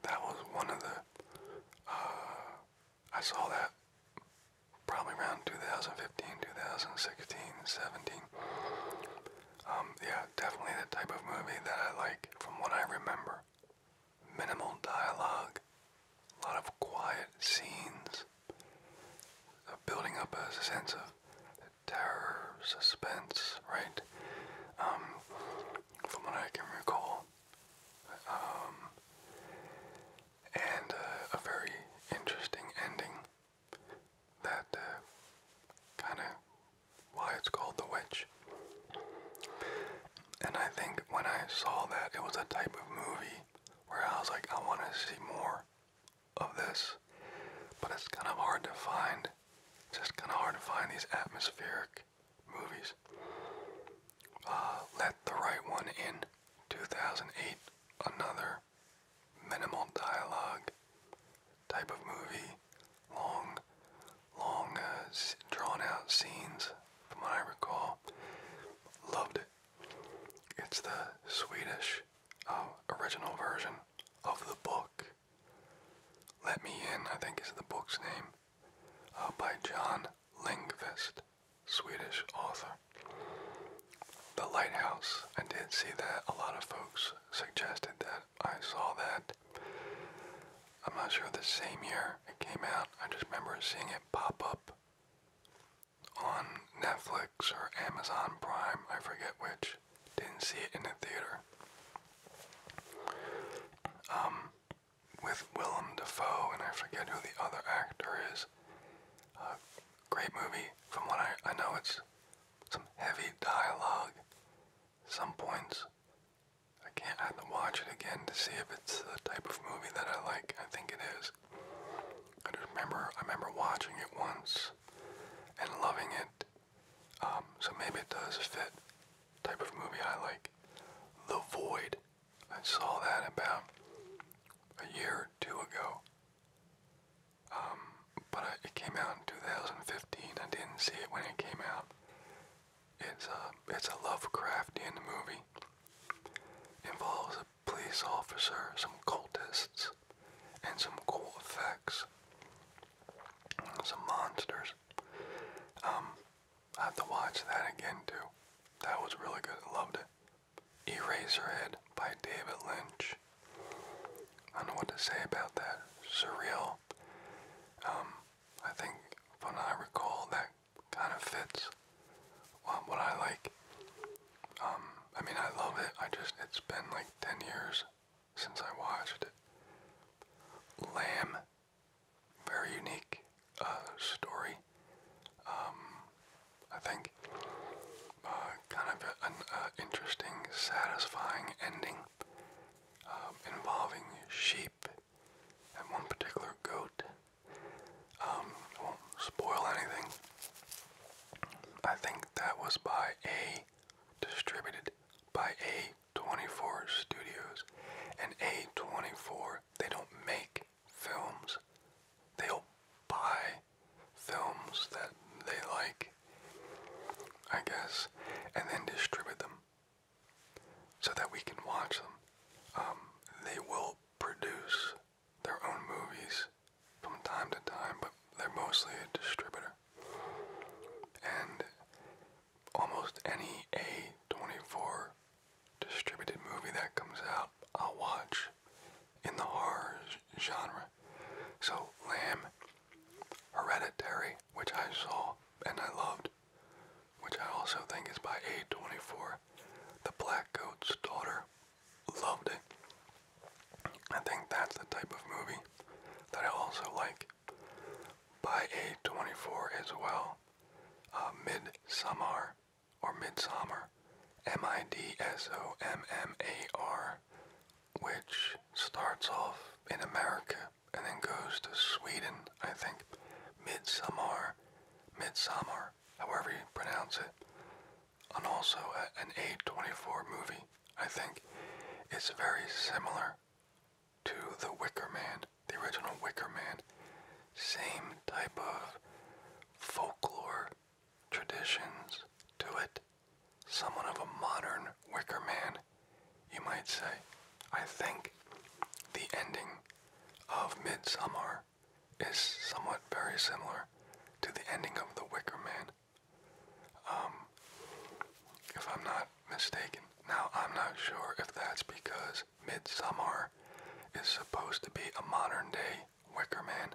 That was one of the. Uh, I saw that probably around 2015, 2016, 17. Um, yeah, definitely the type of movie that I like from what I remember. Minimal dialogue, a lot of quiet scenes, uh, building up a sense of terror, suspense, right? Um, from what I can recall, um, and uh, a very interesting ending that uh, kind of why it's called The Witch. And I think when I saw that, it was a type of movie where I was like, I want to see more of this, but it's kind of hard to find. just kind of hard to find these atmospheric movies. Uh, let the Right One In, 2008, another minimal dialogue type of movie. Long, long, uh, drawn out scenes, from what I recall. Loved it. It's the Swedish uh, original version of the book. Let Me In, I think is the book's name. Uh, by John Lingvist, Swedish author. The lighthouse. I did see that. A lot of folks suggested that. I saw that. I'm not sure the same year it came out. I just remember seeing it pop up on Netflix or Amazon Prime. I forget which. Didn't see it in the theater. Um, with Willem Dafoe, and I forget who the other actor is. Uh, great movie. From what I, I know, it's some heavy dialogue. Some points. I can't have to watch it again to see if it's the type of movie that I like. I think it is. I remember I remember watching it once and loving it. Um, so maybe it does fit type of movie I like. The Void. I saw that about a year or two ago. Um, but it came out in 2015. I didn't see it when it came out. It's a, uh, it's a Lovecraftian movie. Involves a police officer, some cultists, and some cool effects. Some monsters. Um, I have to watch that again too. That was really good. Loved it. Eraserhead by David Lynch. I don't know what to say about that. Surreal. Um, I think, from what I recall, that kind of fits um, what I like. Um, I mean, I love it. I just, it's been like 10 years since I watched it. Lamb very unique uh, story. Um, I think uh, kind of an uh, interesting, satisfying ending um, involving sheep and one particular goat. Um, won't spoil anything. I think that was by a distributed by a 24 Studios. And A24, they don't make films. They'll buy films that they like, I guess, and then distribute them so that we can watch them. Um, they will produce their own movies from time to time, but they're mostly a distributor. And almost any A24 distributed movie that comes out, I'll watch in the horror genre. So, Lamb, Hereditary, which I saw and I loved, which I also think is by A24, The Black Goat's Daughter, loved it. I think that's the type of movie that I also like by a 24 as well. Uh, Midsummer or Midsummer, M-I-D-S-O-M-M-A-R, which starts off in America and then goes to Sweden, I think. Midsummer, Midsummer, however you pronounce it. And also uh, an A24 movie, I think. It's very similar to The Wicker Man, the original Wicker Man. Same type of folklore traditions to it. Someone of a modern Wicker Man, you might say. I think the ending of Midsummer is somewhat very similar to the ending of The Wicker Man. Um, if I'm not mistaken. Now, I'm not sure if that's because Midsummer is supposed to be a modern day Wicker Man.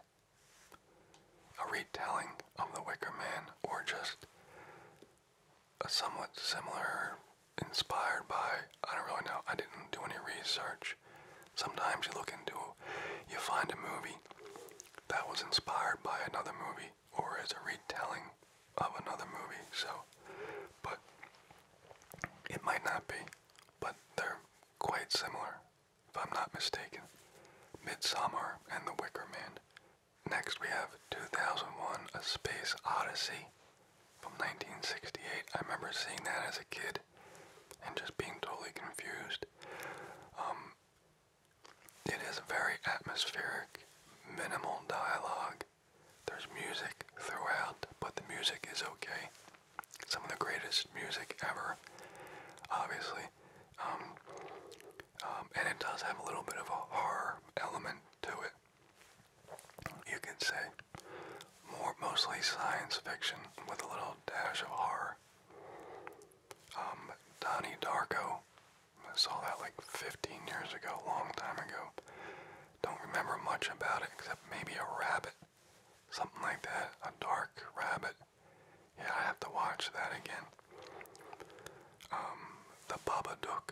A retelling of the Wicker Man, or just a somewhat similar, inspired by, I don't really know, I didn't do any research. Sometimes you look into, you find a movie that was inspired by another movie, or is a retelling of another movie, so but it might not be, but they're quite similar, if I'm not mistaken. Midsummer and The Wicker Man. Next we have 2001 A Space Odyssey from 1968. I remember seeing that as a kid and just being totally confused. Um, it is a very atmospheric, minimal dialogue, there's music throughout, but the music is okay. Some of the greatest music ever, obviously. Um, um, and it does have a little bit of a horror element to it. You could say more mostly science fiction with a little dash of horror. Um, Donnie Darko, I saw that like 15 years ago, long time ago. Don't remember much about it except maybe a rabbit. Something like that. A dark rabbit. Yeah, I have to watch that again. Um, the Babadook.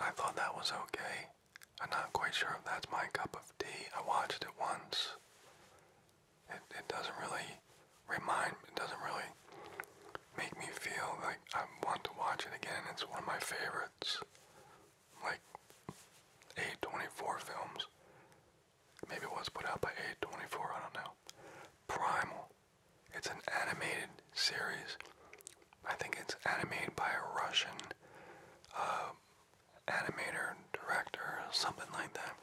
I thought that was okay. I'm not quite sure if that's my cup of tea. I watched it once. It, it doesn't really remind, it doesn't really make me feel like I want to watch it again. It's one of my favorites like a films. Maybe it was put out by a I don't know. Primal. It's an animated series. I think it's animated by a Russian uh, animator, director, something like that.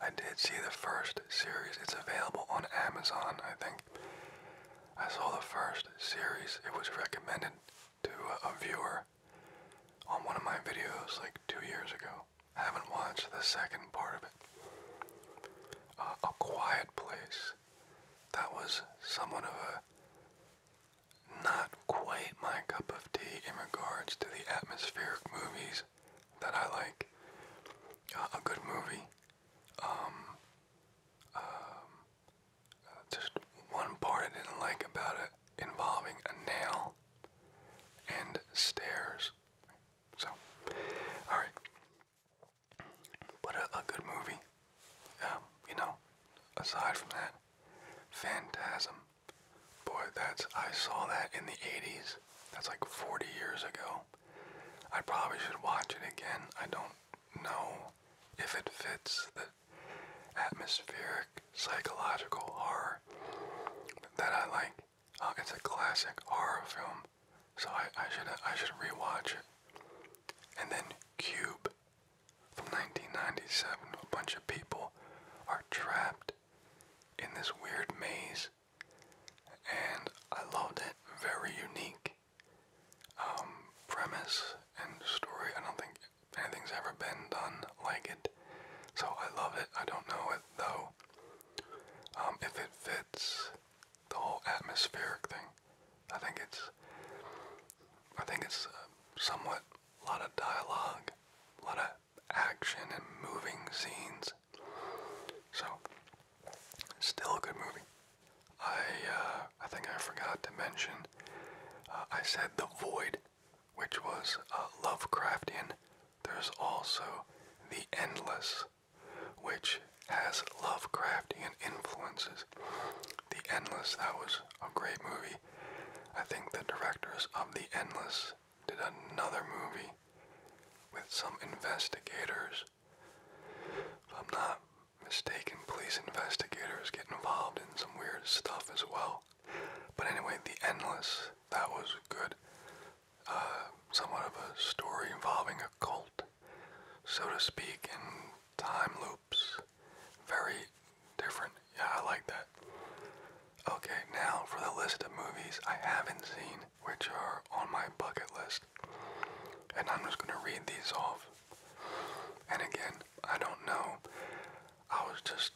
I did see the first series. It's available on Amazon, I think. I saw the first series. It was recommended to a, viewer on one of my videos like two years ago. I haven't watched the second part of it. a Quiet Place. That was somewhat of a not quite my cup of tea in regards to the atmospheric movies that I like. a good movie. Um, um, uh, just one part I didn't like about it involving a nail and stairs. So, alright. But a, a good movie, um, you know, aside from that, Phantasm. Boy, that's, I saw that in the 80s. That's like 40 years ago. I probably should watch it again. I don't know if it fits the atmospheric psychological horror that I like. Uh, it's a classic horror film, so I, I should I should rewatch it. And then Cube from 1997. A bunch of people are trapped in this weird maze, and I loved it. Very unique. Um, premise and story. I don't think anything's ever been done like it, so I love it. I don't know it though. Um, if it fits the whole atmospheric thing, I think it's. I think it's uh, somewhat a lot of dialogue, a lot of action and moving scenes. So, still a good movie. I uh, I think I forgot to mention. Uh, I said the void, which was uh, Lovecraftian. There's also the endless, which has Lovecraftian influences. The endless that was a great movie. I think the directors of the endless did another movie with some investigators. If I'm not mistaken, police investigators get involved in some weird stuff as well. But anyway, The Endless, that was good. Uh, somewhat of a story involving a cult, so to speak, in time loops. Very different. Yeah, I like that. Okay, now for the list of movies I haven't seen, which are on my bucket list. And I'm just going to read these off. And again, I don't know. I was just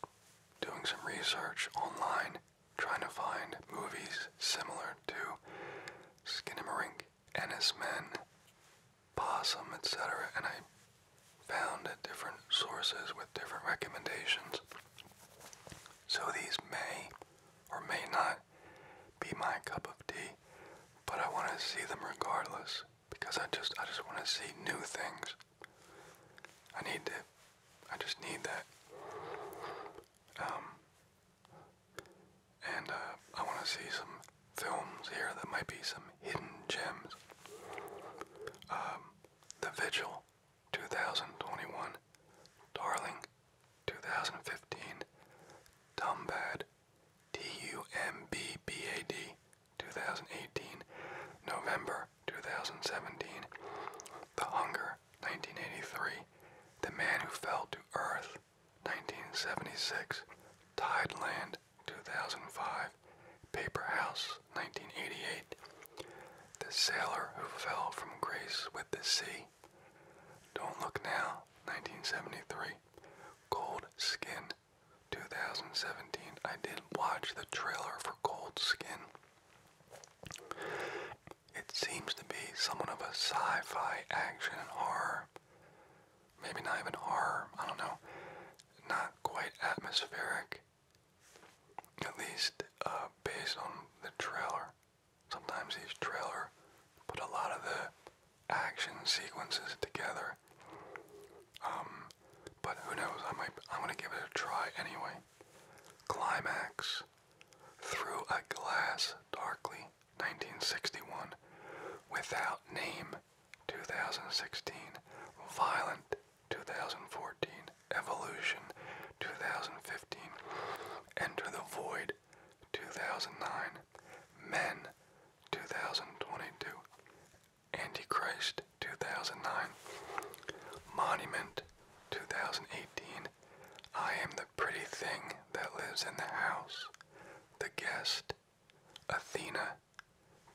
doing some research online, trying to find movies similar to Skinamarink, Ennis Men, Possum, etc. And I found at different sources with different recommendations. So these may or may not be my cup of tea, but I want to see them regardless because I just I just want to see new things. I need to I just need that. Um, and uh, I want to see some films here that might be some hidden gems. Um, the Vigil 2021, Darling 2015, Dumbad TUMBBAD 2018, November 2017, The Hunger 1983, The Man Who Fell to Earth 1976, Tideland 2005, Paper House 1988, The Sailor Who Fell from Grace with the Sea, Don't Look Now 1973, Cold Skin 2017, I did watch the trailer for Cold Skin. It seems to be somewhat of a sci fi action horror. Maybe not even horror, I don't know. Not quite atmospheric. At least uh, based on the trailer. Sometimes these trailer put a lot of the action sequences together. Um, but who knows? I might. I'm gonna give it a try anyway. Climax through a glass darkly 1961 without name 2016 violent 2014 evolution 2015 enter the void 2009 men 2022, Antichrist 2009, Monument 2018, I Am the Pretty Thing That Lives in the House, The Guest, Athena,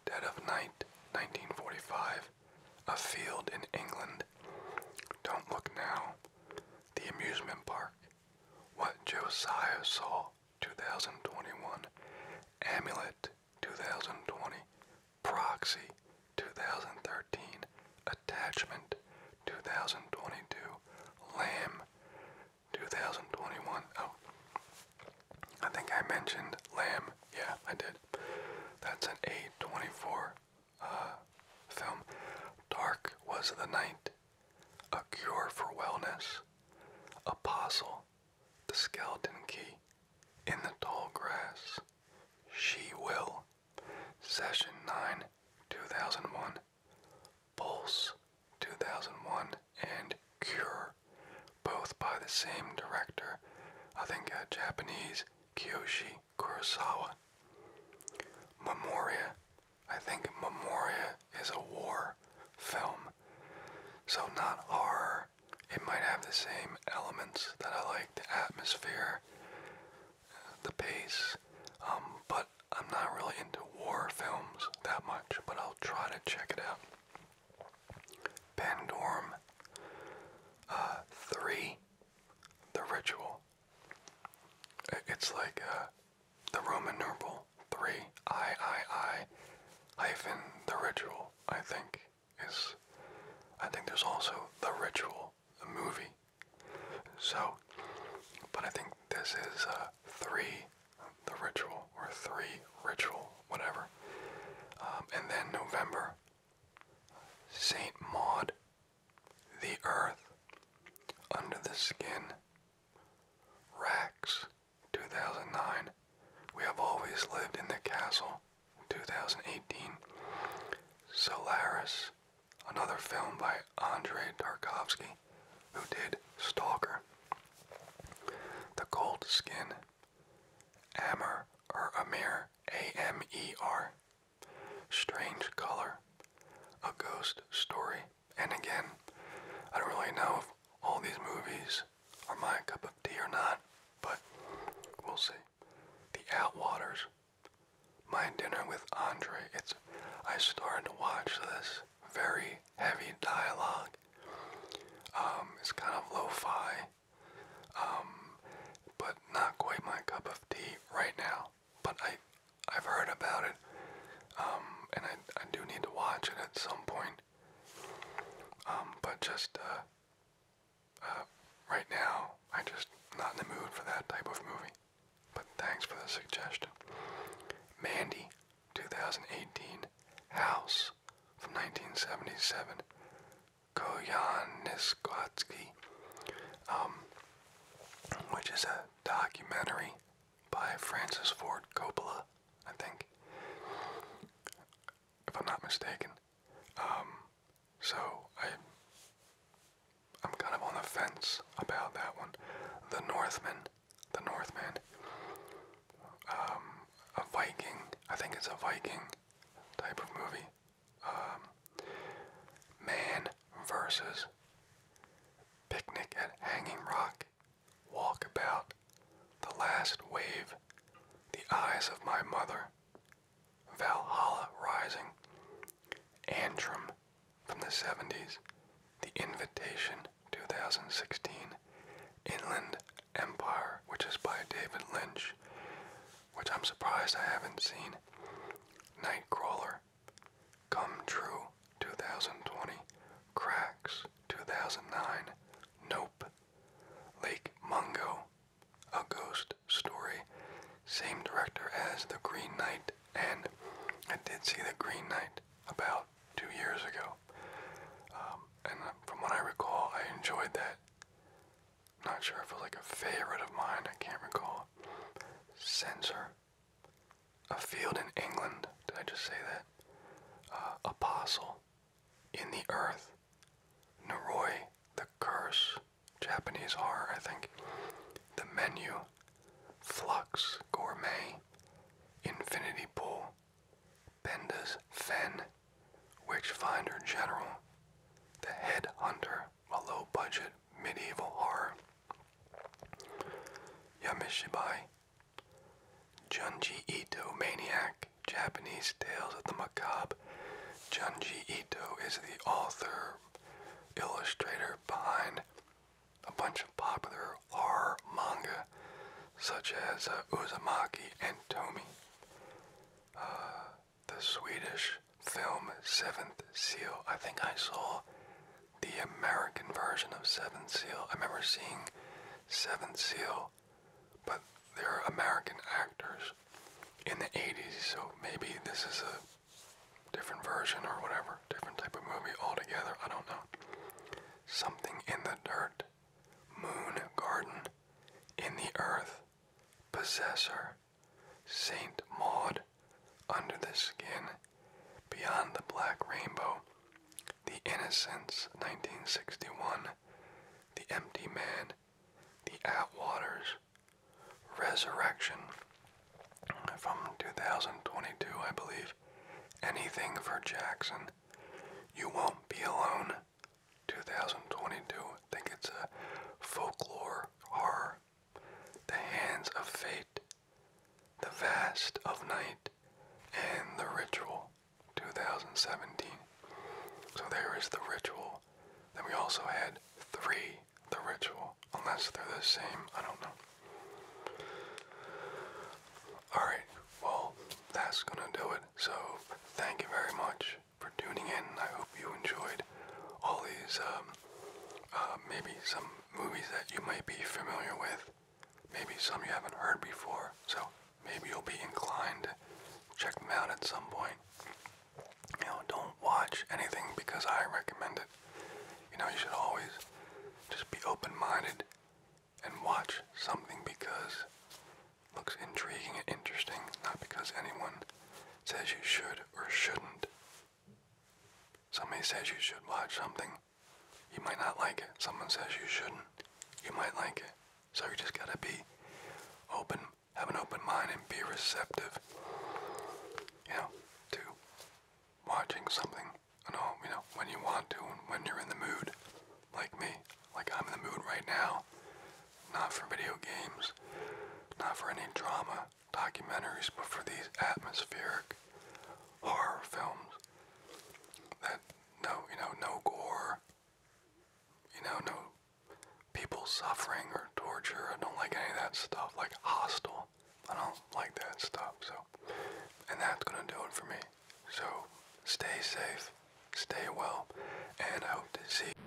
Dead of Night 1945, A Field in England, Don't Look Now, The Amusement Park, What Josiah Saw, 2021, Amulet 2020, Proxy 2013, Attachment 2022, Lamb 2021. Oh, I think I mentioned Lamb. Yeah, I did. That's an A24 uh, film. Dark was the night. A cure for wellness. Apostle the skeleton key in the tall grass. She will. Session 9, 2001. Pulse, 2001, and Cure, both by the same director. I think a Japanese Kiyoshi Kurosawa. Memoria. I think Memoria is a war film. So not horror. It might have the same elements that I like, the atmosphere, the pace, um, but I'm not really into war films that much, but I'll try to check it out. Pandorum uh, 3, The Ritual. It's like uh, the Roman numeral three. I I I hyphen the ritual. I think is. I think there's also the ritual, the movie. So, but I think this is uh, three, the ritual or three ritual, whatever. Um, and then November, Saint Maud, the Earth, Under the Skin, Rax. 2009. We have always lived in the castle. 2018. Solaris, another film by Andrei Tarkovsky, who did Stalker. The Cold Skin, Ammer or Amir, A M E R. Strange Color, A Ghost Story, and again, I don't really know if all these movies are my cup of tea or not, but we'll see. The Outwaters, My Dinner with Andre. It's I started to watch this very heavy dialogue. Um, it's kind of lo-fi, um, but not quite my cup of tea right now. But I, I've heard about it, um, and I, I do need to watch it at some point. Um, but just uh, uh, right now, I just not in the mood for that type of movie. But thanks for the suggestion. Mandy, 2018. House from 1977. Koyan um, which is a documentary by Francis Ford Coppola, I think, if I'm not mistaken. Um, so I, I'm kind of on the fence about that one. The Northman, the Northman, um, a Viking. I think it's a Viking type of movie. Um, man versus Picnic at Hanging Rock Walkabout, The Last Wave, The Eyes of My Mother, Valhalla Rising, Antrim from the 70s, The Invitation 2016, Inland Empire, which is by David Lynch, which I'm surprised I haven't seen, Nightcrawler, Come True 2020, Cracks, 2009, Nope, Lake Mungo, A Ghost Story, same director as The Green Knight, and I did see The Green Knight about two years ago. Um, and uh, from what I recall, I enjoyed that. Not sure if it was like a favorite of mine, I can't recall. Censor. A field in England. Did I just say that? Uh, Apostle in the earth. Noroi, the curse, Japanese horror, I think. The menu, flux, gourmet, infinity pool, Benda's fen, Witch Finder general, the head hunter, a low budget medieval horror. Yamishibai, Junji Ito Maniac, Japanese Tales of the Macabre. Junji Ito is the author, illustrator behind a bunch of popular horror manga such as uh, Uzumaki and Tomi. Uh, the Swedish film Seventh Seal. I think I saw the American version of Seventh Seal. I remember seeing Seventh Seal but they're American actors in the 80s, so maybe this is a different version or whatever, different type of movie altogether. I don't know. Something in the dirt, moon garden, in the earth, possessor, Saint Maud, under the skin, beyond the black rainbow, the Innocents, 1961, The Empty Man, The Atwaters, Resurrection, from 2022, I believe, Anything for Jackson, You Won't Be Alone, 2022, I think it's a folklore horror, The Hands of Fate, The Vast of Night, and The Ritual. 2017. So there is the ritual. Then we also had three, the ritual. Unless they're the same, I don't know. Alright, well, that's gonna do it. So thank you very much for tuning in. I hope you enjoyed all these, um, uh, maybe some movies that you might be familiar with maybe some you haven't heard before, so maybe you'll be inclined to check them out at some point. You know, don't watch anything because I recommend it. You know, you should always just be open-minded and watch something because looks intriguing and interesting, not because anyone says you should or shouldn't. Somebody says you should watch something. You might not like it. Someone says you shouldn't. You might like it. So you just gotta be open, have an open mind, and be receptive, you know, to watching something and all, you know, when you want to and when you're in the mood, like me. Like I'm in the mood right now, not for video games, not for any drama, documentaries, but for these atmospheric horror films that no, you know, no gore, you know, no people suffering or torture. I don't like any of that stuff, like hostile. I don't like that stuff, so. And that's gonna do it for me. So, stay safe, stay well, and I hope to see you.